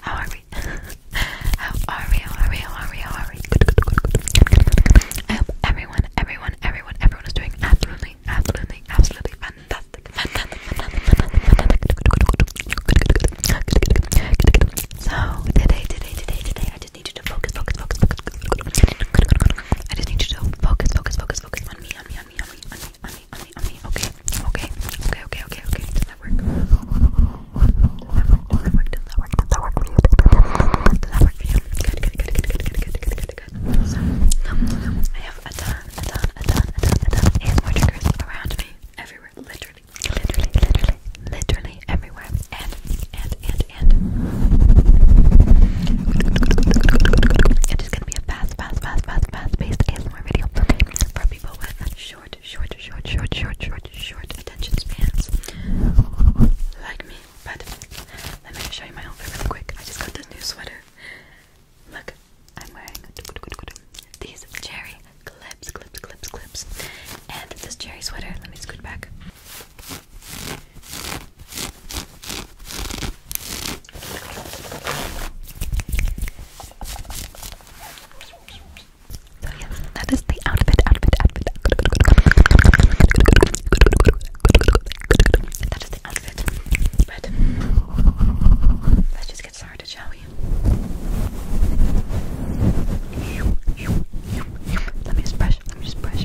How are we? How are we? How are we? How are we? How are we? I hope everyone, everyone, everyone, everyone is doing absolutely, absolutely, absolutely fantastic. Fantastic, fantastic, fantastic, So today, today, today, today, I just need you to focus, focus, focus, focus. I just need you to focus, focus, focus, focus on me, on me, on me, on me, on me, me, on me. Okay, okay, okay, okay, okay, okay. Does that work? Does that work? Does that work? Does that work? Does that work for you? Does that work for you? Good, good, good, good, good, good, good, good, good. So, um, I have a ton, a ton, a ton, a ton, a ton of ASMR triggers around me, everywhere, literally, literally, literally, literally everywhere, and, and, and, and. It is gonna be a fast, fast, fast, fast, fast-paced for people with short, short, short, short, short, short, attention spans like me. But let me show you my outfit really quick. I just got this new sweater. Look, I'm wearing these cherry clips, clips, clips, clips, and this cherry sweater. Let me scoot back. So yes, that is the outfit, outfit, outfit. outfit. let's just get started, shall we? Let Let me just brush. Let me just brush.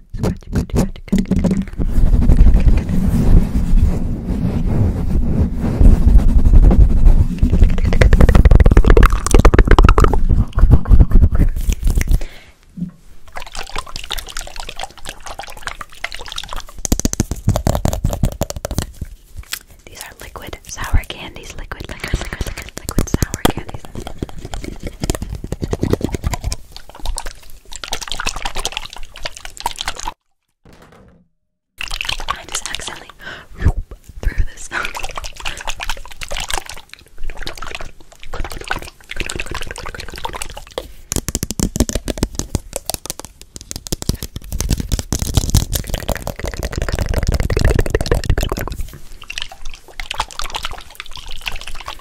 Scratch, scratch, scratch, scratch, scratch, These are liquid sour candies, liquid, liquid, liquid, liquid, liquid sour candies. I just accidentally threw this.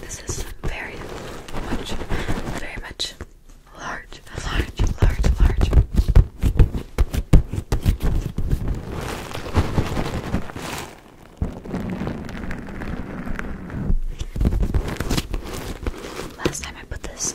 This is very much, very much large, large, large, large. Last time I put this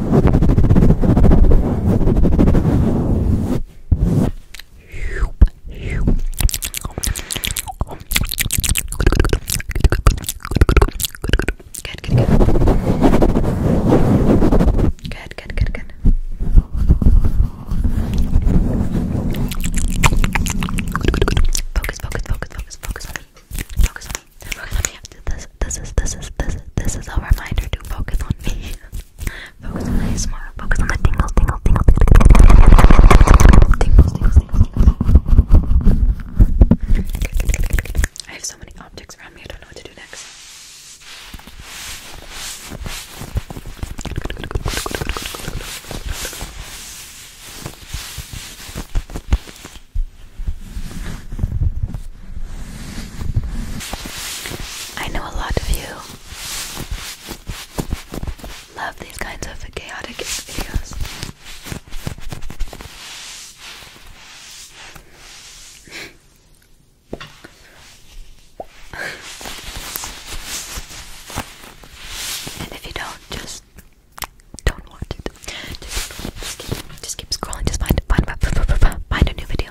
Good, good, good. Good, good, good, good. Focus, focus, focus, focus, focus Focus on me. This, this is, this is, this this is a reminder to focus on me. Focus on the ASMR. Focus on the tingles, tingles, tingles, tingles, tingles, tingles, tingles, tingles. I have so many objects around me. I don't know what to do next. I know a lot of you love these kinds of chaotic videos. and if you don't, just don't watch it. Just keep, scrolling. Just find, find a new video.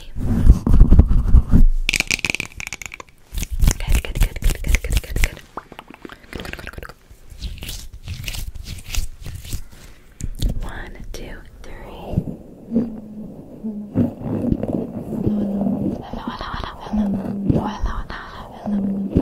happy. Good, good, good, good, good, good, good, good. Good, good, good, good, good. One, two, three. Hello, hello, hello, hello. Hello, hello, hello, hello. Hello,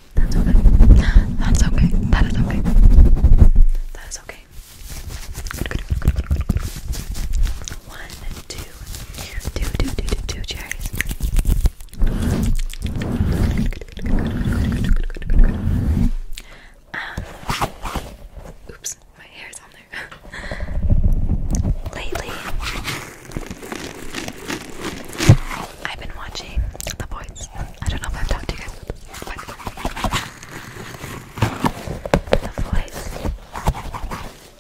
that's okay. That's okay. That is okay. That is okay. Good, good, um, oops, my hair on there. Lately, I've been watching The Voice. I don't know if I've talked to you guys but The Voice.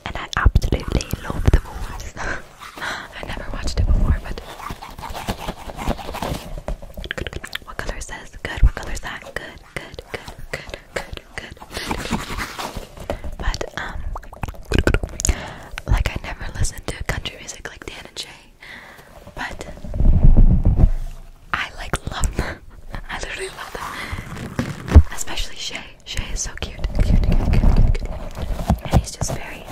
And I absolutely love The Voice. I never watched it before, but good, good, good. What color is this? Good. What color is that? Good, good, good, good, good, good, good. But um, like I never listened to country music like Dan and Shay. But I like love them. I literally love them. Especially Shay. Shay is so cute. And he's just very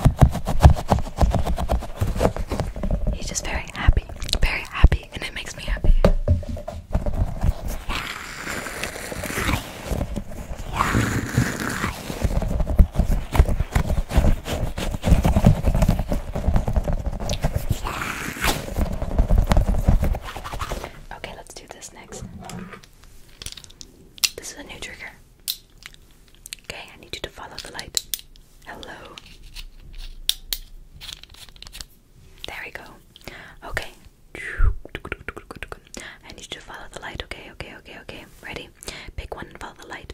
He's just very happy. Very happy. And it makes me happy. Okay, let's do this next. This is a new trigger. Okay, I need you to follow the light. Hello. There we go. Okay. I need you to follow the light. Okay, okay, okay, okay. Ready? Pick one and follow the light.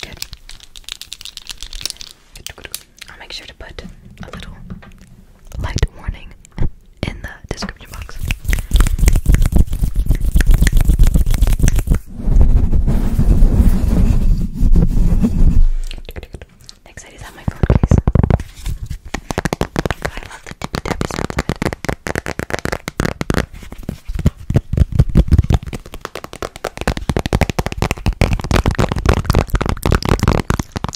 Good. I'll make sure to put a little light warning in the description box. Next, I just have my phone case.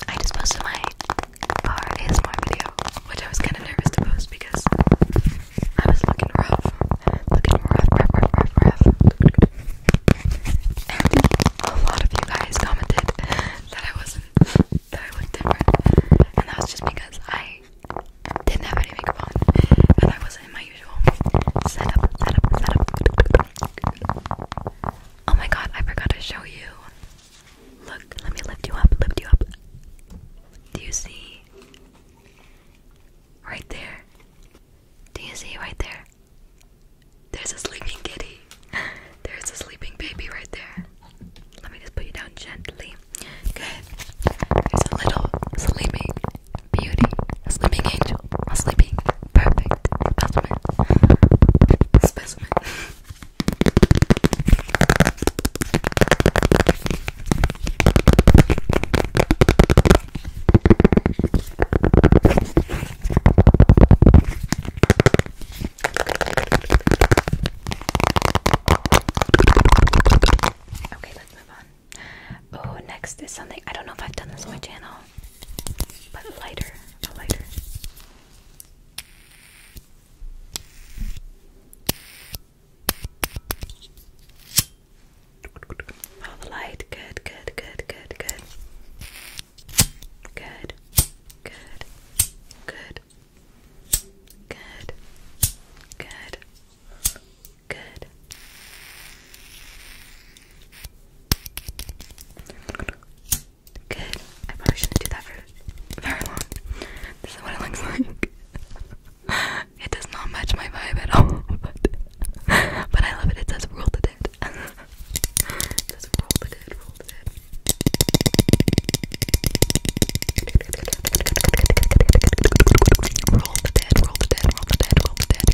I just posted my car ASMR video, which I was kind of nervous to post because I was looking rough. Looking rough, rough, rough, rough, a lot of you guys commented that I wasn't that looked different, and that was just because I didn't have any makeup on, But I wasn't in my usual setup, setup, setup. Oh my god, I forgot to show you. Look, let me lift you up, lift you up. Do you see? Right there. Do you see right there? There's a sleeping kitty. There's a sleeping baby right there. Let me just put you down gently. Okay. There's a little sleeping beauty. A sleeping angel. A sleeping perfect specimen. Specimen. Okay, let's move on. Oh, next is something I don't know if I've done this on my channel, but lighter, a lighter. Follow oh, the light. Good, good, good, good, good. Good. Good. Good. Good. Good. Good. Good. I probably shouldn't do that for very long. This is what it looks like. it does not match my vibe at all, but but I love it. It says rule to it. Just roll the good, roll the good. Roll the dead, roll the dead, roll the dead, roll the dead.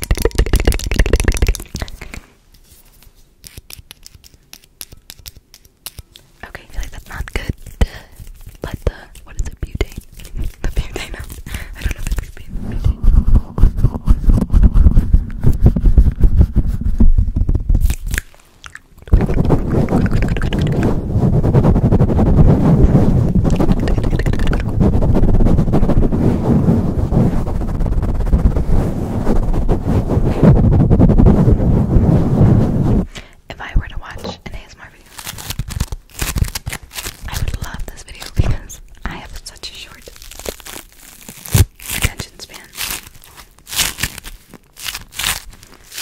Okay, I feel like that's not good. But the, what is it, butane? The butane, I don't know if it's butane. If I were to watch an ASMR video, I would love this video because I have such a short attention span.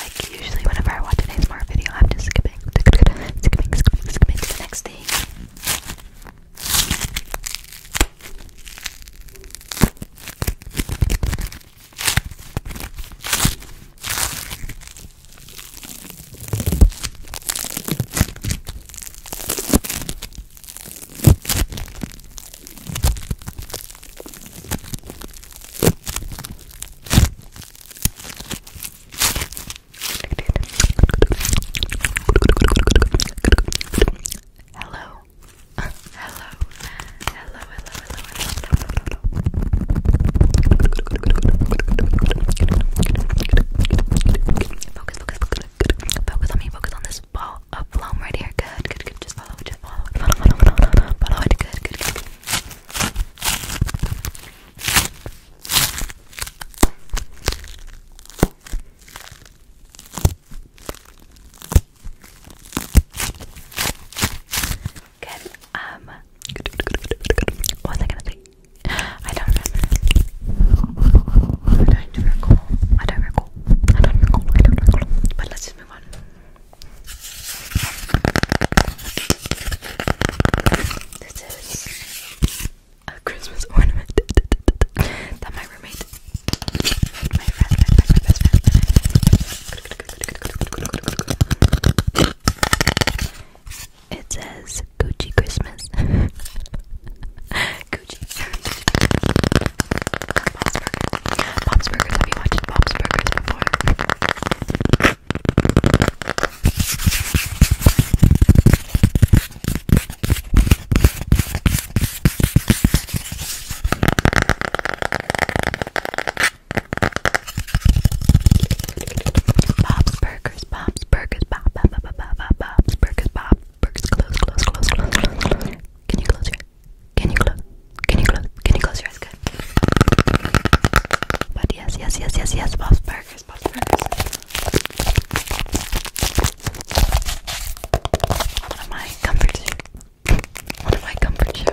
Like usually whenever I watch an smart video, I'm just skipping, skipping, skipping, skipping, skipping to the next thing. Hello. hello. Hello. Hello, hello, hello, hello. Focus, focus, focus. Focus on me, focus on this ball a phloem right here. Good, good, good. Just follow just follow follow, follow, follow, follow, follow Good, good, good. Good. Um. What was I gonna say? I don't remember. I don't recall. I don't recall. I don't recall. I don't recall. But let this is a Christmas ornament that my roommate, my friend, my best friend, it says Gucci Christmas. Gucci. Bob's Burgers. Bob's Burgers. Have you watched Bob's Burgers before? Bob's Burgers, Bob's Burgers, Bob, Bob, Bob, Bob, Bob's Burgers, Bob, Burgers, close, close, close, close, close, close. Can you close your can you close? Can you close? Can you close your eyes? Good. But yes, yes, yes, yes, yes. Bob's Burgers, Bob's Burgers. One comfort shoes. One of my comfort shoes.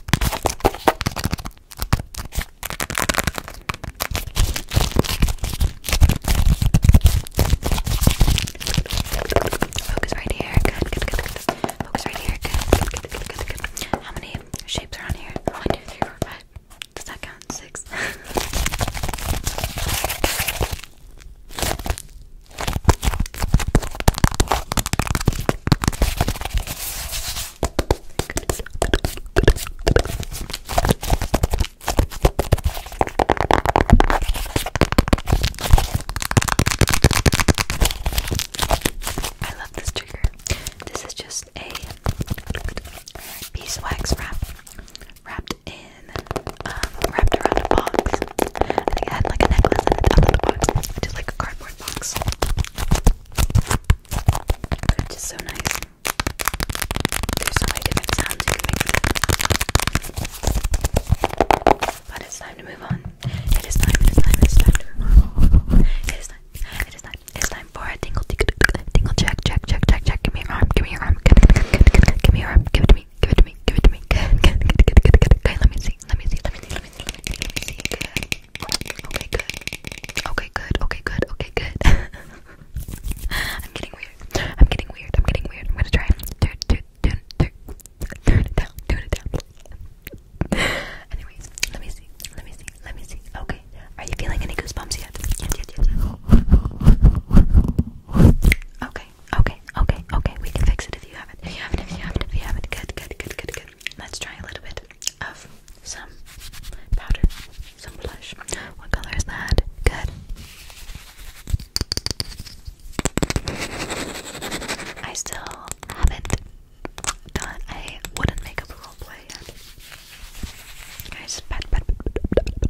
Focus right here. Good, good, good, good. Focus right here. Good, good, good, good, good, good. How many shapes are on here? One, two, three, four, five. Does that count? Six. I love this trigger. This is just a beeswax wrap wrapped in, um, wrapped around a box. I think it had like a necklace in it, out of the box, just like a cardboard cardboard box. Which is so nice. There's so many different sounds you can make from them. But it's time to move on. It is time, it is time, it is time to move on. It is time, it is time, it is time for a tingle, tingle, tingle, check, check, check, check, check. Give me your arm, give me your arm, give, give, give, give, give, give me your arm, give it to me, give it to me, give it to me. Good, good, good, good, good, good. Okay, let me see, let me see, let me see, let me see, let me see. Good. Okay, good. Okay, good. Okay, good. Okay, good. I'm getting weird. I'm getting weird. I'm getting weird. I'm gonna try and turn, turn, turn, turn, turn it down. Turn it down. Anyways, let me see. Let me see. Let me see. Okay. Are you feeling any goosebumps yet? Yes, yes, yes. Okay. Okay. Okay. Okay. We can fix it if you haven't. If you haven't. If you haven't. If you haven't. Good. Good. Good. Good. Good. Let's try a little bit of some powder, some blush. What color is that? Good. I still haven't done a wooden makeup role play yet. Guys, pat, pat, Good.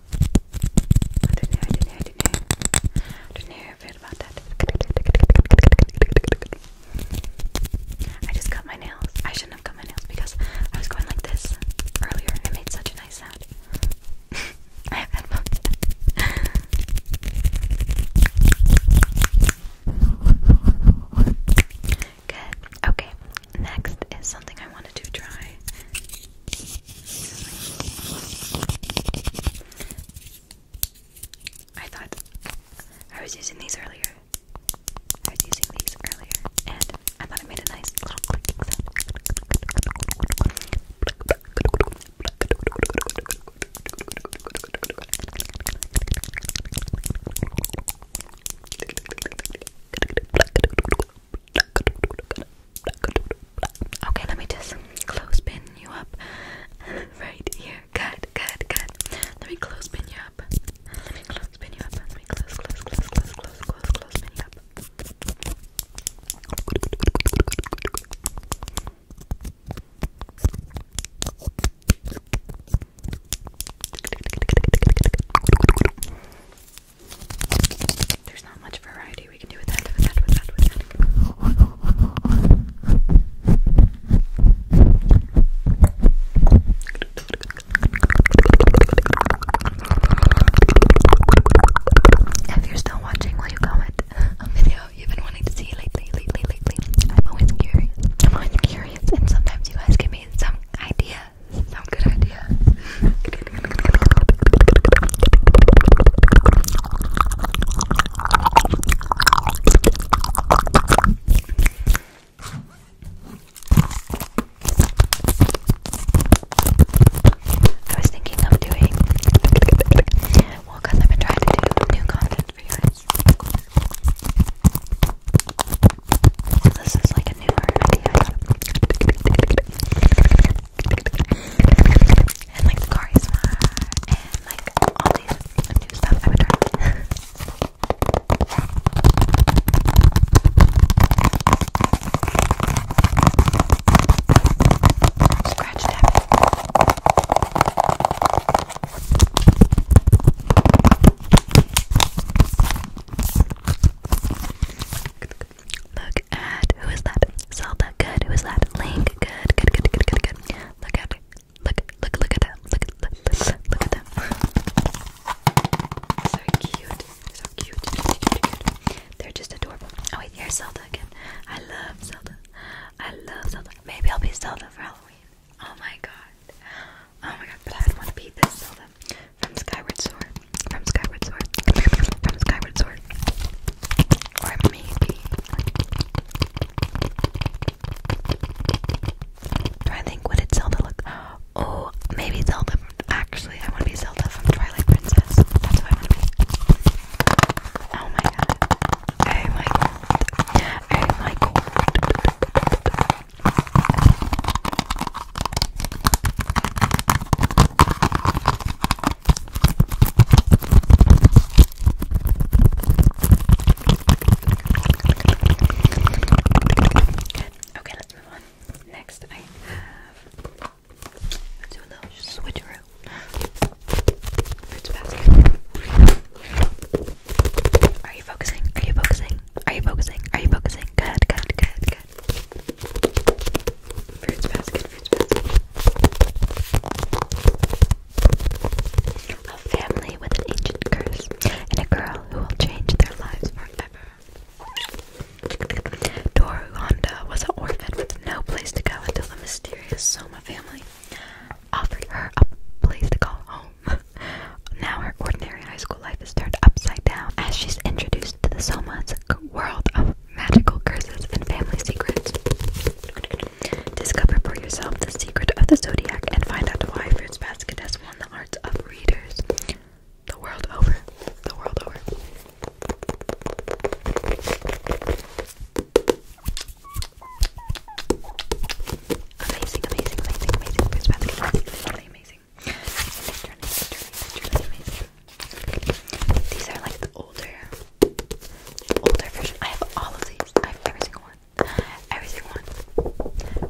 I don't know, I just cut my nails. I shouldn't have cut my nails because I was going like this earlier. It made such a nice sound. Good. Okay. Next is something I wanted to try. I thought I was using these earlier. I was using these earlier, and I thought I made a nice little Okay, let me just close pin you up right here. Good, good, good. Let me close pin you up. Let me close pin you up. Let me close, close, close, close, close, close, close pin you up. There's not much variety we can do with that, with you still watching, will you comment a video you've been wanting to see lately, lately, lately? I'm always curious. I'm always curious, and sometimes you guys give me some idea no good idea. I was thinking of doing well because I've been trying to do new content for you guys. This is like a newer video. And like charisma and like all these new stuff I would try. Scratch tapping. Look at who is that? Zelda, good. Who is that? Link, good. Good, good, good, good, good. Look at look, look, look at them. Look, look, look at them. So cute. So cute. Cute, cute, cute. They're just adorable. Oh wait, here's Zelda again. I love Zelda. I love Zelda. Maybe I'll be Zelda for Halloween. Oh my god. Oh my god, but I don't want to be this Zelda from Skyward Sword, from Skyward Sword, from Skyward Sword, or maybe. Do I think what Zelda look? Oh, maybe Zelda. Actually, I want to be Zelda from Twilight Princess. That's what I want to be. Oh my god! Oh my god! Oh my god! Okay, let's move on. Next, I have let's do a little switcheroo. Are you focusing? Are you focusing? Are you focusing? Are you focusing? Good, good, good, good good. Fruits basket, fruits basket. A family with an ancient curse and a girl who will change their lives forever. Toru was an orphan with no place to go until the mysterious Soma family offered her a place to call home. now her ordinary high school life is turned upside down as she's introduced to the Soma's world of magical curses and family secrets. Discover for yourself the secret of the zodiac and find out why Fruits Basket has won the hearts of readers the world over. The world over. Amazing, amazing, amazing, amazing. Fruits Basket is really amazing these are like the older, older version. I have all of these. I have every single one, every single one.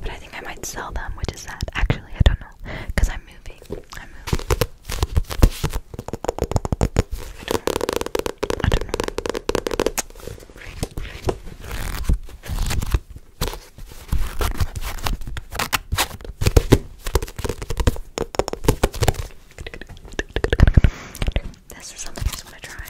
But I think I might sell them, which is sad. Actually, I don't know, cause I'm moving. I'm moving. I don't know. I don't know. This is something I just want to try.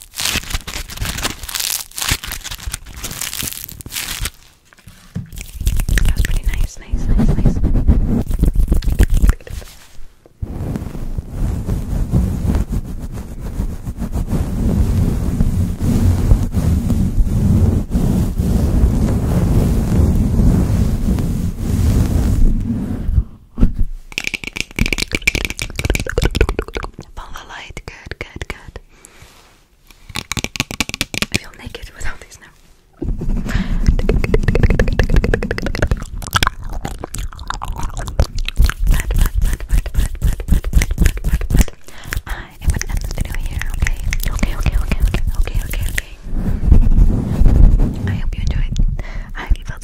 That was pretty nice, nice, nice, nice. Follow the light. Good, good, good. I feel naked without these now. I am going to here, okay? Okay, okay, okay, okay, okay, okay, I hope you enjoyed. I hope you felt